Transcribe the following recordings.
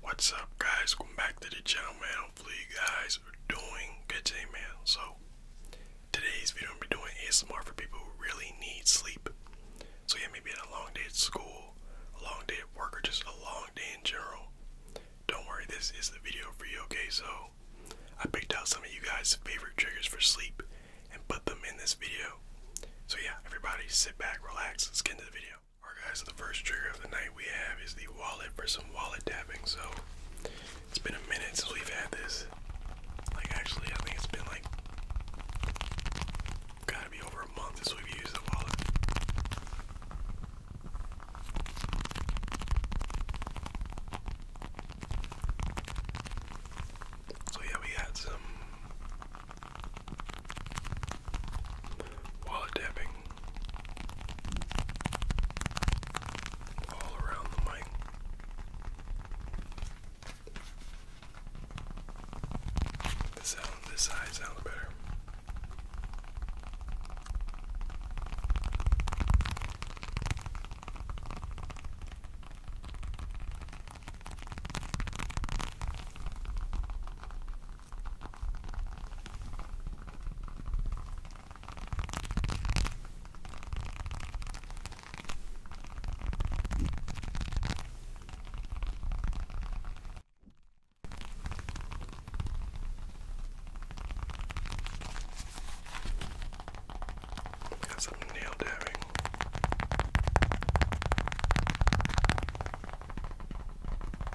What's up guys, welcome back to the channel man, hopefully you guys are doing good today man. So, today's video I'm going to be doing ASMR for people who really need sleep. So yeah, maybe a long day at school, a long day at work, or just a long day in general. Don't worry, this is the video for you, okay? So, I picked out some of you guys' favorite triggers for sleep and put them in this video. So yeah, everybody sit back, relax, let's get into the video. Alright guys, so the first trigger of the night we have is the wallet for some wallet tapping. So it's been a minute since we've had this. Like actually I think it's been like gotta be over a month since we've used the wallet. So yeah, we got some while dabbing all around the mic. The sound this side sounds better. Got some nail daring.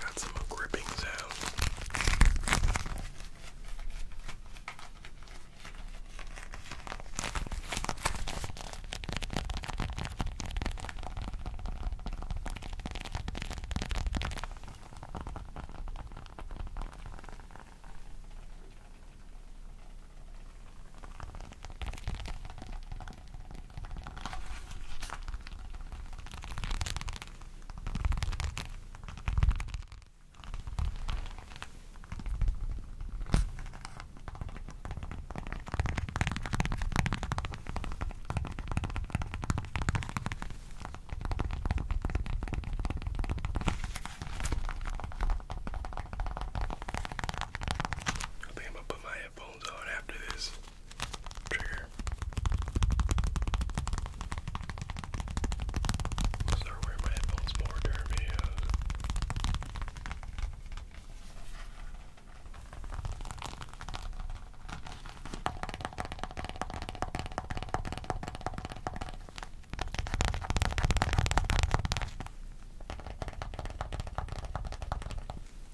Got some gripping sound. I think I'm gonna put my headphones on after this trigger. I'll start wearing my headphones more during videos.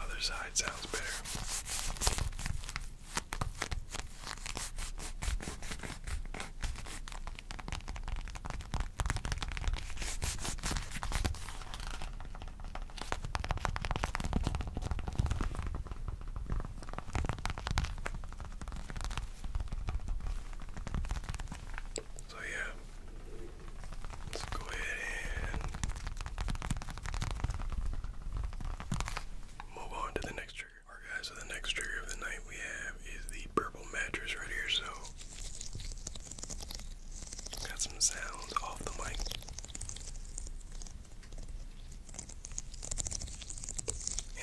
Other side sounds better. So yeah, let's go ahead and move on to the next trigger. Alright guys, so the next trigger of the night we have is the purple mattress right here. So got some sounds off the mic.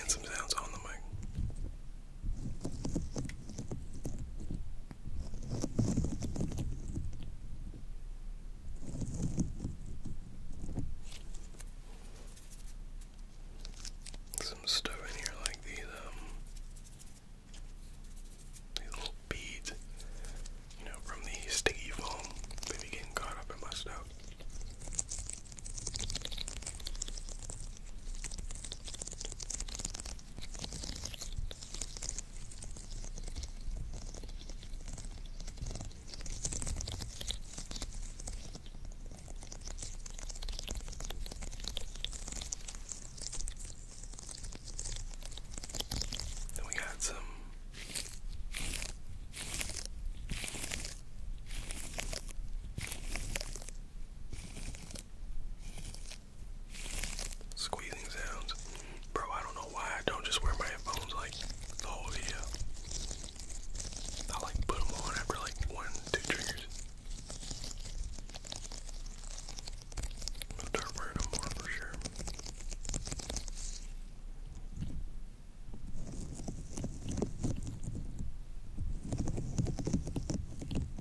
And some sounds on the mic. Some stuff in here like um, these little beads, you know, from the sticky foam. Maybe getting caught up in my stuff. Then we got some Squeezing sounds. Bro, I don't know why I don't just wear my headphones like the whole video. I like put them on after like one, two triggers. I'll start wearing them more for sure.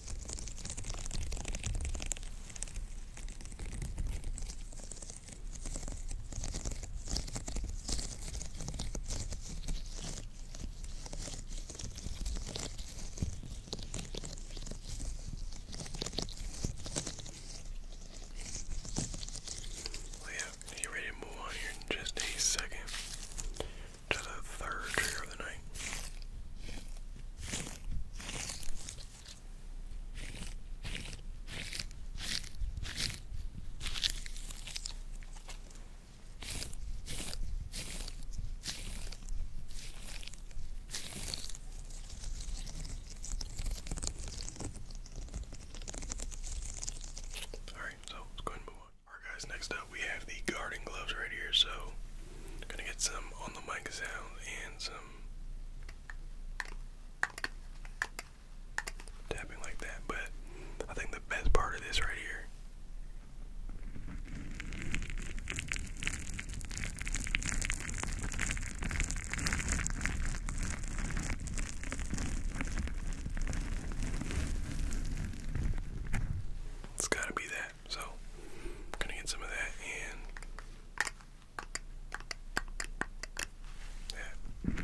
Well, yeah, you ready to move on here in just a second. Alright, so let's go ahead and move on. Alright guys, next up we have the gardening gloves right here, so Gonna get some on the mic sound and some tapping like that, but I think the best part of this right here. It's gotta be that that. So I'm gonna get some of that and that.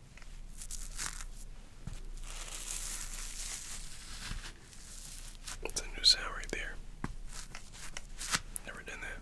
It's a new sound right there. Never done that.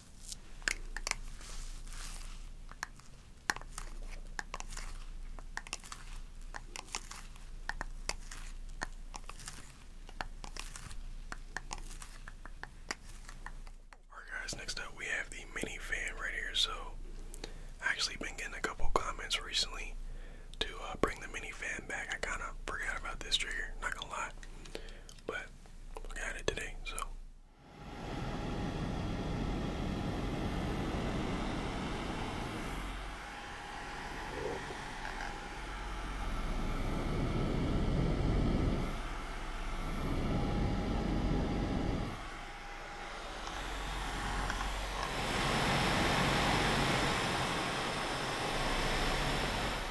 Alright guys, next up we have the mini fan right here. So actually been getting a couple comments recently to uh, bring the mini fan back. I kind of forgot about this trigger, not gonna But I got it today, so.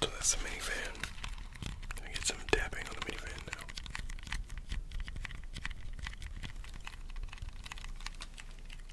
So that's the minivan. Gonna get some dabbing on the minivan now.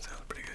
Sounds pretty good.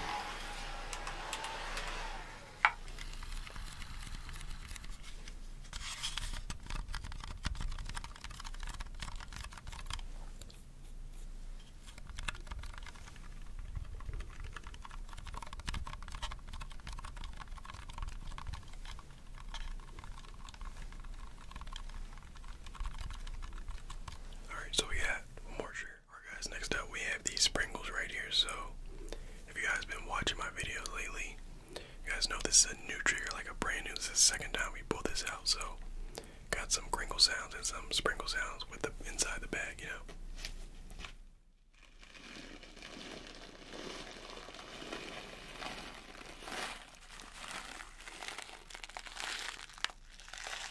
All right, so yeah, more shirt. Alright guys, next up we have these sprinkles right here. So if you guys been watching my videos lately, you guys know this is a new trigger, like a brand new. This is the second time we pulled this out, so got some crinkle sounds and some sprinkle sounds with the inside the bag, you know.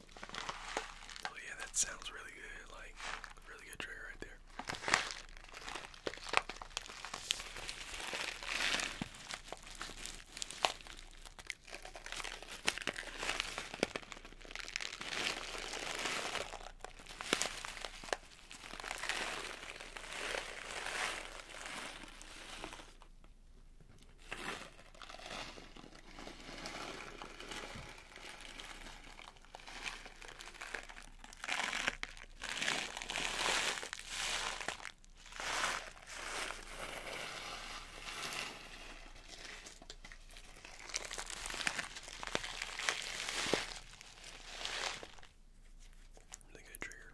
Oh yeah, that sounds really good. Like really good trigger right there. Really good trigger.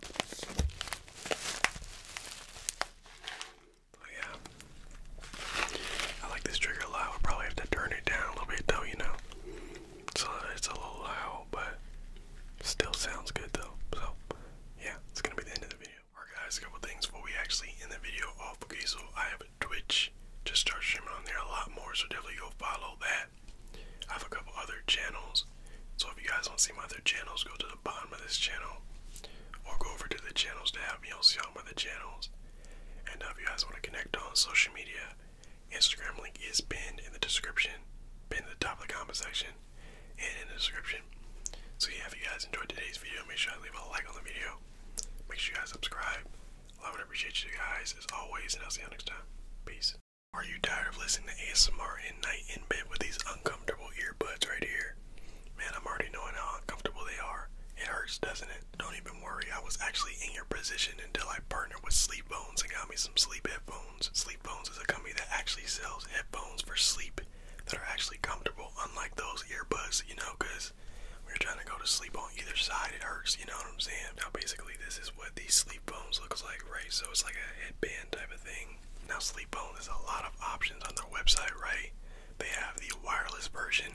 But yeah, I like this trigger a lot. i probably have to turn it down a little bit though, you know. So it's a little loud, but still sounds good though. So yeah, it's gonna be the end of the video. Alright guys, a couple things before we actually end the video off. Okay, so I have a Twitch. Just start streaming on there a lot more, so definitely go follow that. I have a couple other channels so if you guys want to see my other channels, go to the bottom of this channel or go over to the channels tab and you'll see all my other channels. And uh, if you guys want to connect on social media, Instagram link is pinned in the description, pinned at the top of the comment section, and in the description. So yeah, if you guys enjoyed today's video, make sure you leave a like on the video. Make sure you guys subscribe. Love and appreciate you guys as always, and I'll see you next time. Peace. Are you tired of listening to ASMR at night in bed with these uncomfortable earbuds right here? Man, I'm already knowing how uncomfortable they are. It hurts, doesn't it? Don't even worry, I was actually in your position until I partnered with Sleep Bones and got me some sleep headphones. Sleep Bones is a company that actually sells headphones for sleep that are actually comfortable, unlike those earbuds, you know, because when you're trying to go to sleep on either side, it hurts, you know what I'm saying? Now, basically, this is what these sleep bones looks like, right? So it's like a headband type of thing. Now sleep bones. has a lot of options on their website, right? They have the wireless version.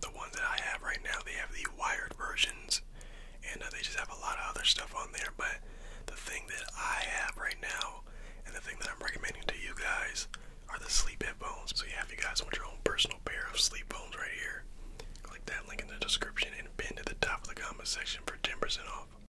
The ones that I have right now, they have the wired versions. And uh, they just have a lot of other stuff on there. But the thing that I have right now, and the thing that I'm recommending to you guys, are the sleep headphones. So yeah, if you guys want your own personal pair of sleep bones right here, click that link in the description and pin to the top of the comment section for 10% off.